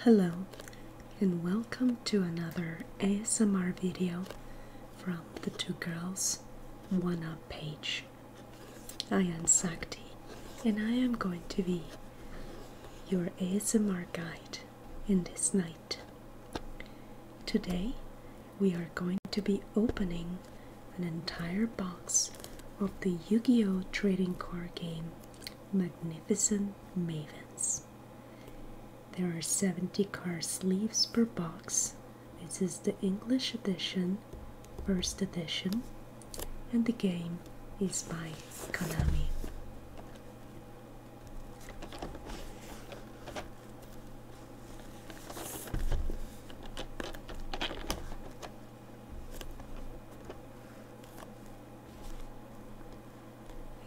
Hello, and welcome to another ASMR video from the Two Girls One Up page. I am Sakti, and I am going to be your ASMR guide in this night. Today, we are going to be opening an entire box of the Yu Gi Oh! trading card game Magnificent Mavens. There are 70 card sleeves per box. This is the English edition First Edition, and the game is by Konami.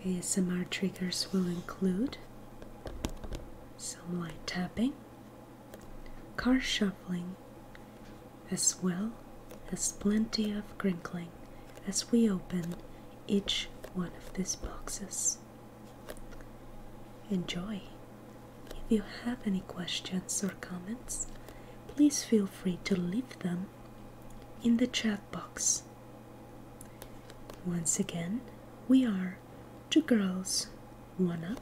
ASMR triggers will include some light tapping, car shuffling, as well as plenty of crinkling as we open each one of these boxes. Enjoy! If you have any questions or comments, please feel free to leave them in the chat box. Once again, we are Two Girls One Up,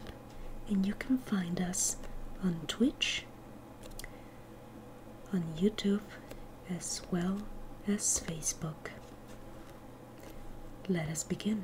and you can find us on Twitch on YouTube as well as Facebook. Let us begin.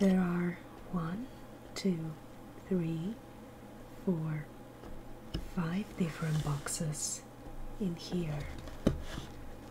There are one, two, three, four, five different boxes in here.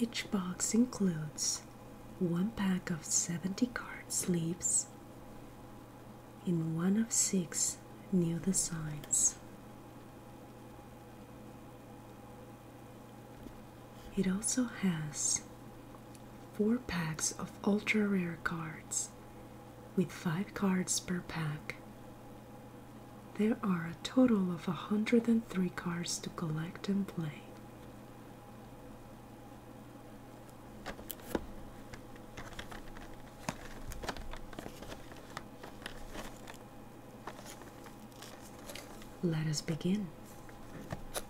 Each box includes one pack of 70 card sleeves in one of six new designs. It also has four packs of ultra rare cards with five cards per pack. There are a total of 103 cards to collect and play. Let us begin.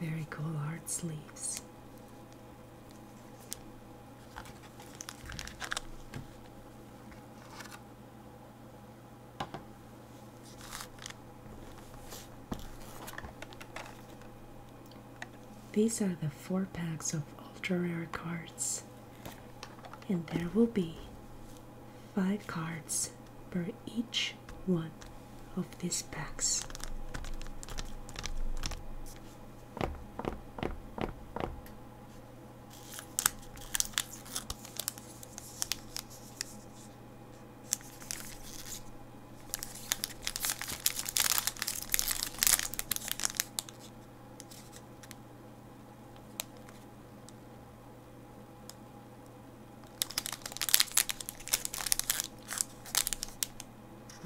Very cool hard sleeves. These are the four packs of ultra rare cards, and there will be five cards per each one of these packs.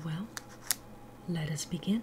Well, let us begin.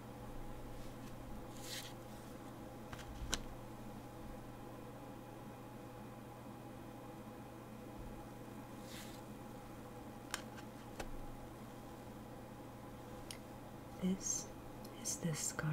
This is this card.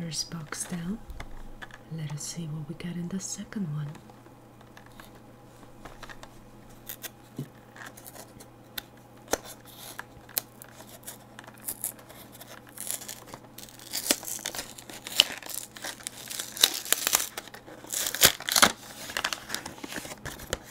First box down. Let us see what we get in the second one.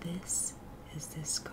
This is this card.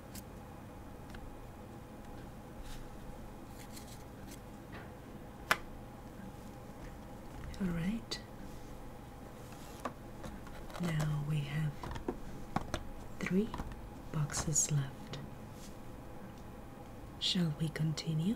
All right. Now we have three boxes left. Shall we continue?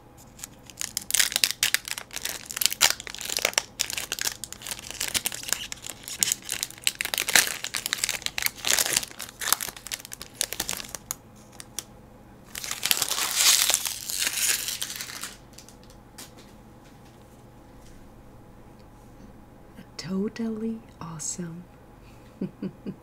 Totally awesome.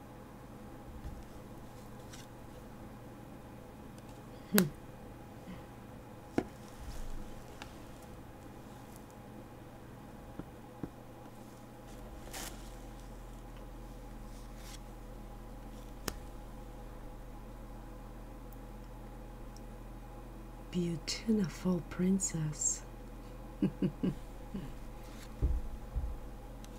Hmm. Beautiful princess.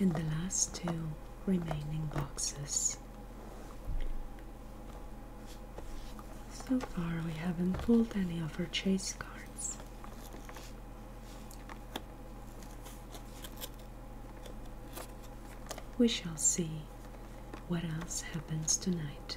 In the last two remaining boxes. So far we haven't pulled any of our chase cards. We shall see what else happens tonight.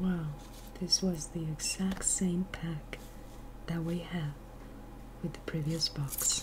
Wow, this was the exact same pack that we had with the previous box.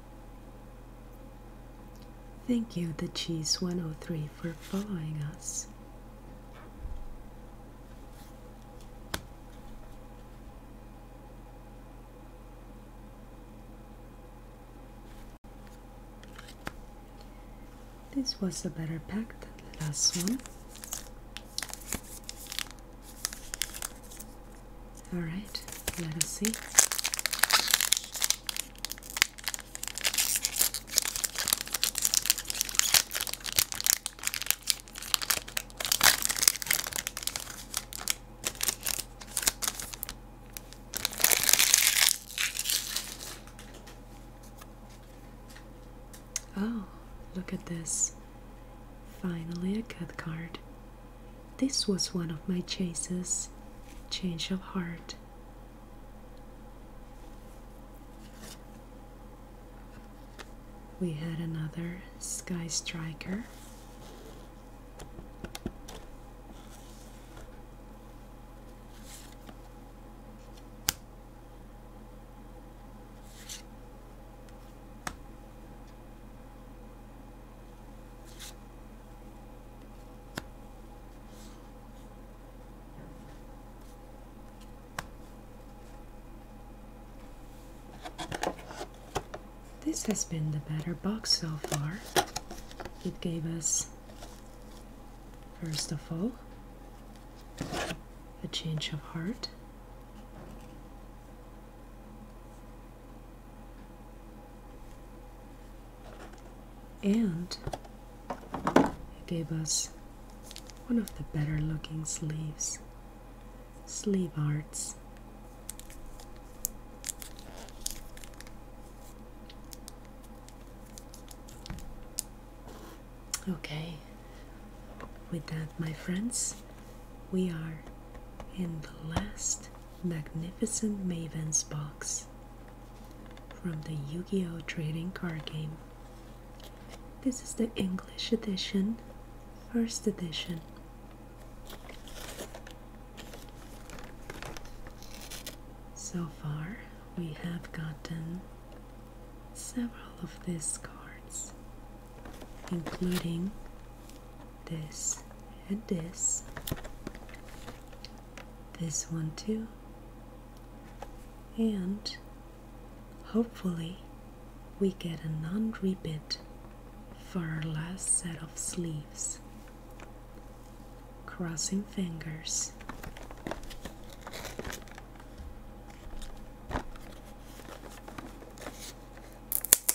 Thank you, The Cheese 103, for following us. This was a better pack than the last one. Alright, let us see. Oh, look at this. Finally, a cut card. This was one of my chases, change of heart. We had another Sky Striker. This has been the better box so far. It gave us, first of all, a change of heart, and he gave us one of the better looking sleeves, sleeve arts. Okay, with that, my friends, we are in the last Magnificent Maven's Box from the Yu Gi Oh! trading card game. This is the English edition, first edition. So far, we have gotten several of these cards, including this, and this. This one too. And hopefully, we get a non repeat for our last set of sleeves. Crossing fingers.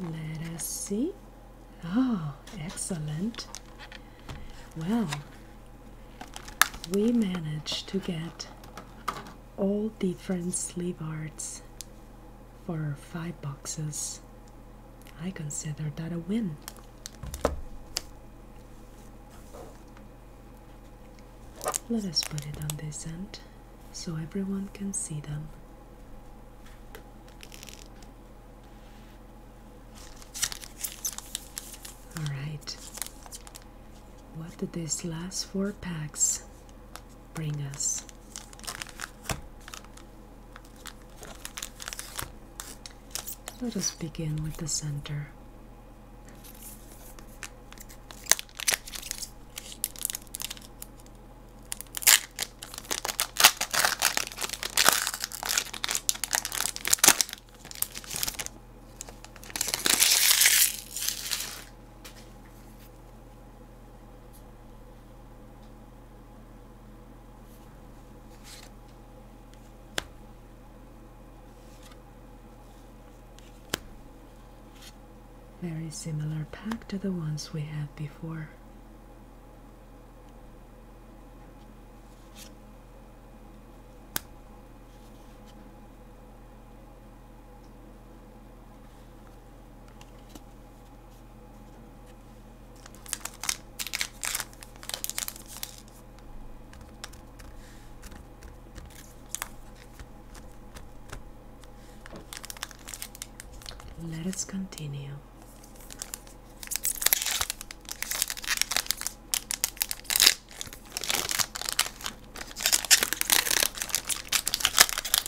Let us see. Oh, excellent. Well, we managed to get all different sleeve arts for five boxes. I consider that a win. Let us put it on this end so everyone can see them. Alright, what did these last four packs bring us. Let us begin with the center. Very similar pack to the ones we had before. Let us continue.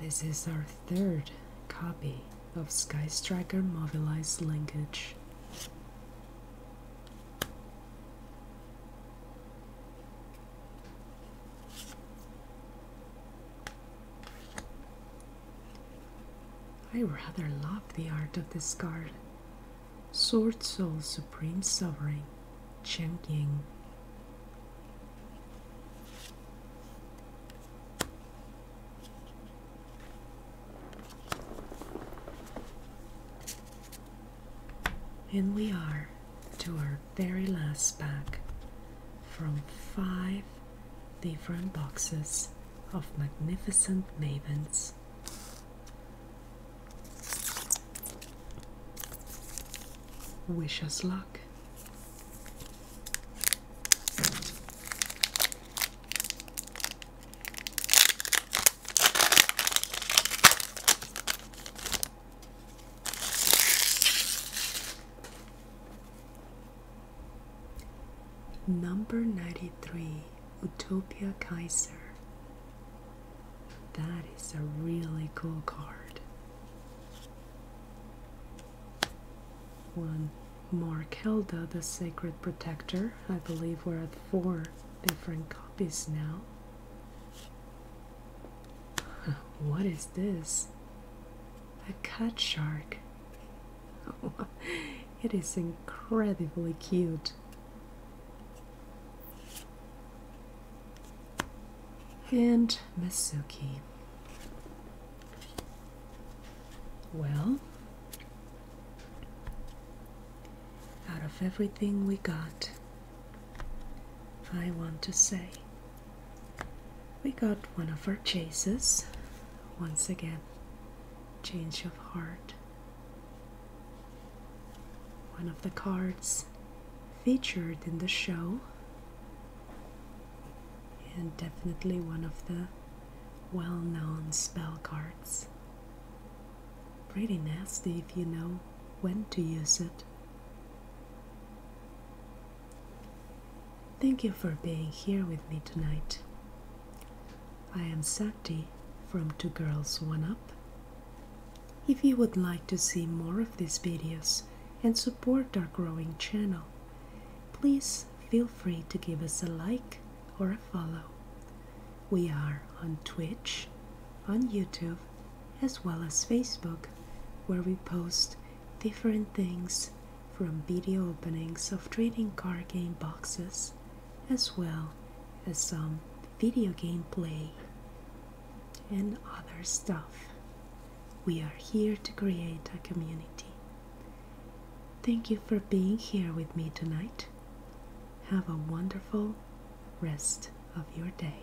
This is our third copy of Sky Striker Mobilized Linkage. I rather love the art of this card. Sword Soul Supreme Sovereign, Chen Ying. And we are to our very last bag from five different boxes of magnificent mavens. Wish us luck. Number 93 Utopia Kaiser. That is a really cool card. One Mark Hilda, the Sacred Protector. I believe we're at four different copies now. what is this? A cut shark. it is incredibly cute. And Masuki. Well, out of everything we got, I want to say we got one of our chases once again. Change of heart. One of the cards featured in the show, and definitely one of the well known spell cards. Pretty nasty if you know when to use it. Thank you for being here with me tonight. I am Sakti from Two Girls One Up. If you would like to see more of these videos and support our growing channel, please feel free to give us a like or a follow. We are on Twitch, on YouTube, as well as Facebook, where we post different things from video openings of trading card game boxes as well as some video game play and other stuff. We are here to create a community. Thank you for being here with me tonight. Have a wonderful rest of your day.